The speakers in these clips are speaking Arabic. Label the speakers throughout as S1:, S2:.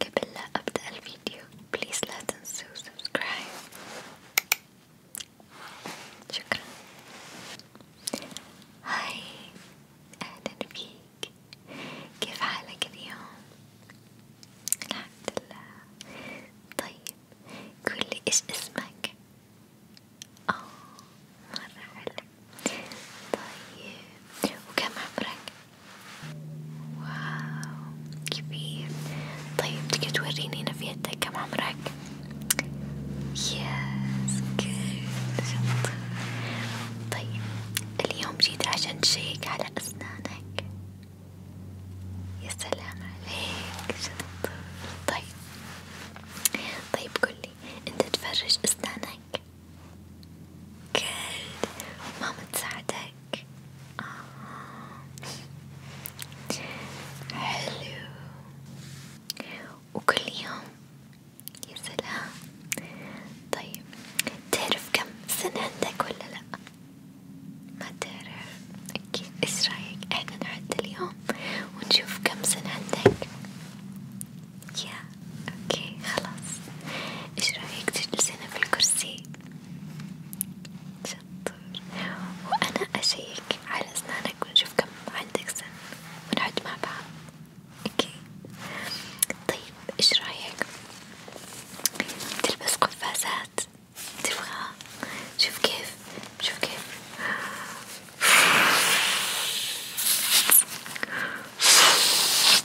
S1: قبل لا أبدأ الفيديو بليز لا تنسوا سبسكرايب شكرا هاي أهلا فيك كيف حالك اليوم؟ الحمد لله طيب قولي إيش اسمك؟ أوه مرة حلو طيب وكم عمرك؟ واو كبير طيب تقدر توريني نفيتك كم عمرك؟ يس جود طيب اليوم جيت عشان تشيك على أسنانك يا سلام عليك شطور طيب طيب قولي انت تفرش أسنانك كلب ماما تساعدك آه. حلو وكل يوم يا سلام طيب تعرف كم سنة عندك ولا لأ؟ ما تعرف أكيد إيش رأيك إحنا نعد اليوم ونشوف كم سنة عندك يا اوكي خلاص ايش رايك تجلسين في الكرسي؟ شطور وانا اشيك على اسنانك ونشوف كم عندك سن ونعد مع بعض اوكي طيب ايش رايك؟ تلبس قفازات تبغاها؟ شوف كيف شوف كيف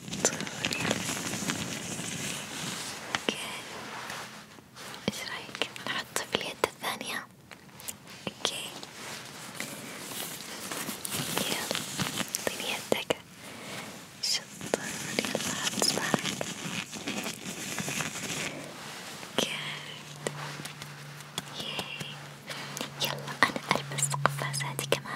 S1: شطور اوكي ايش رايك نحطه في اليد الثانية؟ اوكي يلا اعطيني يدك شطور يلا حط صباعك يلا أنا ألبس قفازاتي كمان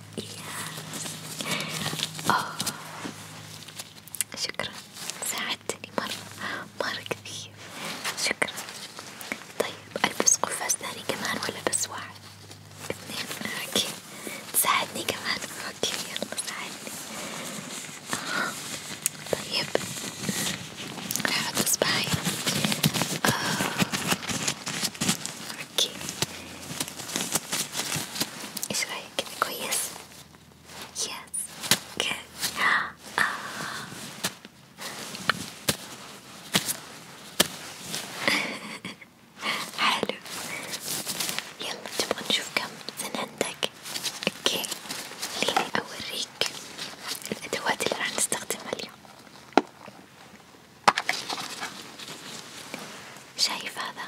S1: yes. أوه. شكرا ساعدتني مرة مرة كثير شكرا طيب ألبس قفاز ثاني كمان ولا بس واحد اثنين اوكي تساعدني كمان اوكي يلا ساعدني آه. طيب راح احط اصبعي آه. اوكي ايش رايك كده كويس؟ يس جود آه. حلو يلا تبغى نشوف كم سن عندك؟ اوكي خليني اوريك الادوات اللي راح نستخدمها اليوم شايف هذا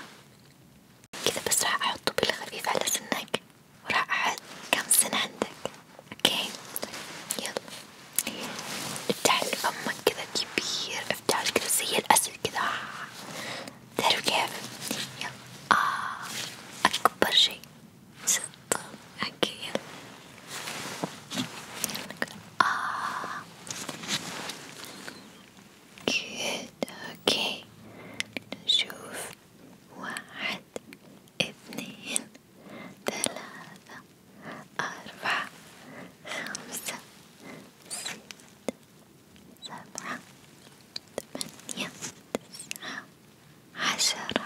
S1: كذا بس راح احطه بالخفيف على سنك وراح احط كم سنة عندك اوكي يلا افتح فمك كذا كبير افتح كذا زي الاسد كذا تعرف كيف يلا آه. اكبر شي اوكي يلا Ah, good. أوكي نشوف واحد اثنين ثلاثة أربعة خمسة ستة سبعة ثمانية تسعة عشرة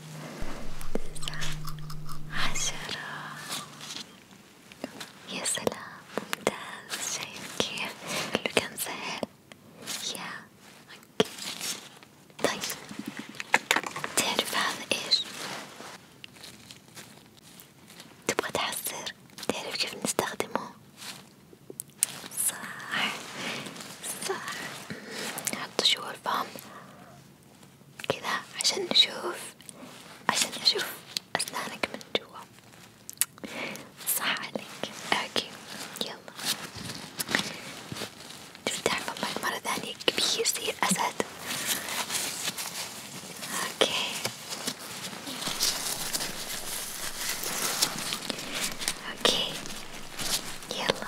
S1: تسعة عشرة يا سلام ممتاز شايف كيف كله كان سهل يا اوكي طيب تعرف هذا ايش؟ تبغى تحسر تعرف كيف نستخدمه؟ صح صح نحط شو الفم كذا عشان نشوف عشان أشوف أسنانك من جوا صح عليك أوكي يلا تفتح فمك مرة ثانية كبير زي الأسد اوكي اوكي يلا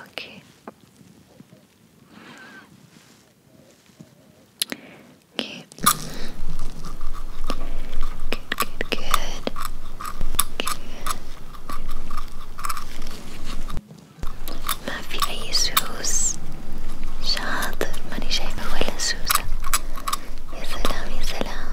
S1: اوكي اوكي good good good ما في اي سوس شاطر ماني شايفة ولا سوسة يا سلام يا سلام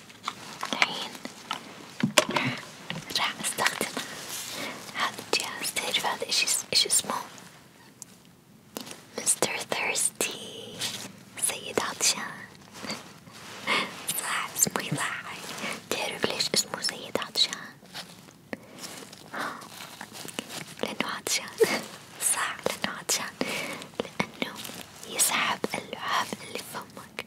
S1: الحين راح أستخدم هذا الجهاز تعرف هذا إيش إيش اسمه؟ مستر ثيرستي سيد عطشان صح اسمه يضحك تعرف ليش اسمه سيد عطشان؟ لأنه عطشان صح لأنه عطشان لأنه يسحب اللعاب اللي في فمك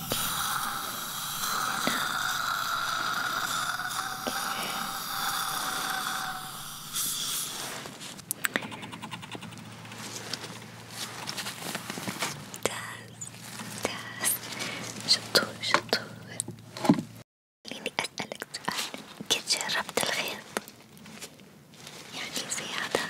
S1: ممتاز شطور شطور خليني أسألك سؤال قد جربت الخيط؟ يعني زي هذا؟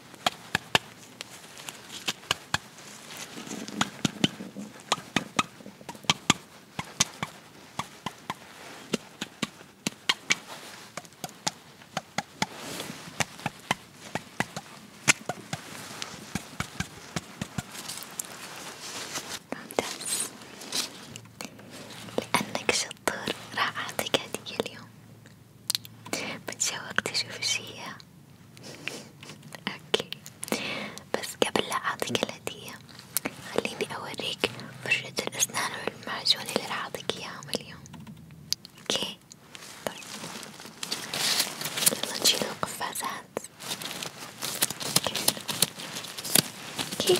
S1: ممتاز لأنك شطور راح أعطيك هدية اليوم متشوقتي شوف ايش هي اوكي بس قبل لا اعطيك الهدية خليني اوريك فرشة الاسنان والمعجون اللي راح اعطيك اياهم اليوم اوكي طيب يلا نشيل القفازات اوكي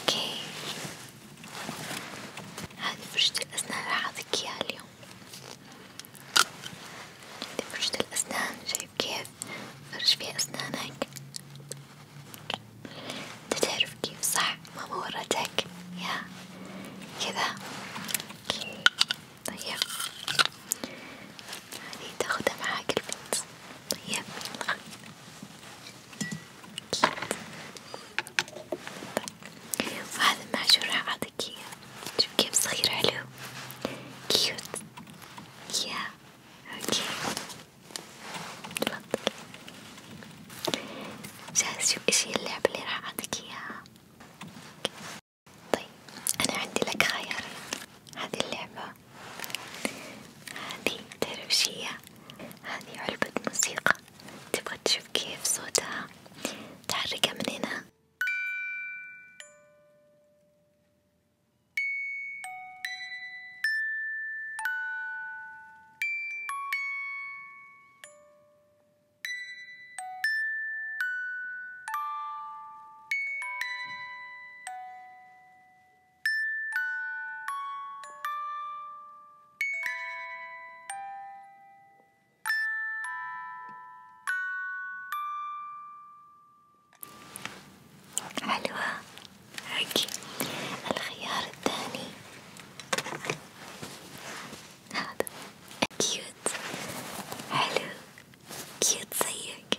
S1: اوكي هذه فرشة الأسنان راح أعطيك إياها اليوم هذه فرشة الأسنان شايف كيف فرش فيها أسنانك انت تعرف كيف صح ماما ورتك يا كذا طيب هذه تاخدها معاك البيت طيب وهذا المعجون راح أعطيك إياه شوف كيف صغير حلو كيوت يا أوكي تفضل جاهز شوف إيش هي اللعبة اللي راح أعطيك إياها طيب أنا عندي لك خيارين هذه اللعبة هذه تربشية هذه علبة موسيقى تبغى تشوف كيف صوتها تحركها من هنا حلوة هيك الخيار الثاني هذا كيوت حلو كيوت زيك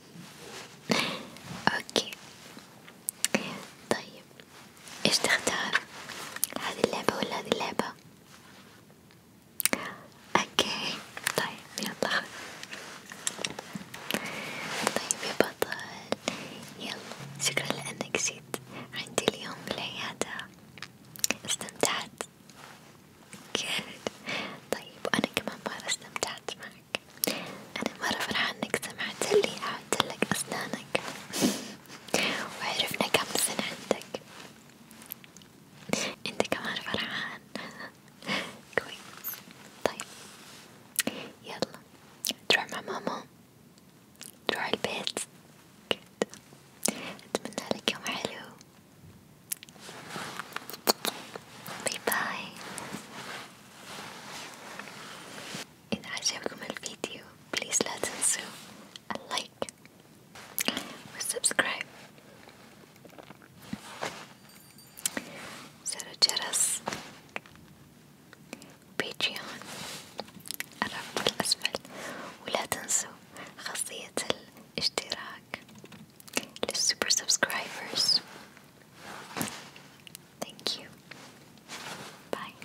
S1: اوكي طيب ايش تختار هذه اللعبة ولا هذه اللعبة اوكي طيب يلا خذ طيب يا بطل يلا شكرا لانك جيت عندي اليوم بالعيادة استمتعت Good. طيب وأنا كمان مرة استمتعت معك أسنانك أنا مرة فرحان إنك سمعتلي أعدتلك أسنانك وعرفنا كم سنة عندك أنت كمان فرحان كويس طيب يلا تروح مع ماما تروح البيت كده أتمنى لك يوم حلو باي باي إذا عجبكم الفيديو بليز لا تنسوا اللايك والسبسكرايب زر الجرس بيتريون الرابط الأسفل ولا تنسوا خاصية الاشتراك super subscribers. Thank you. Bye.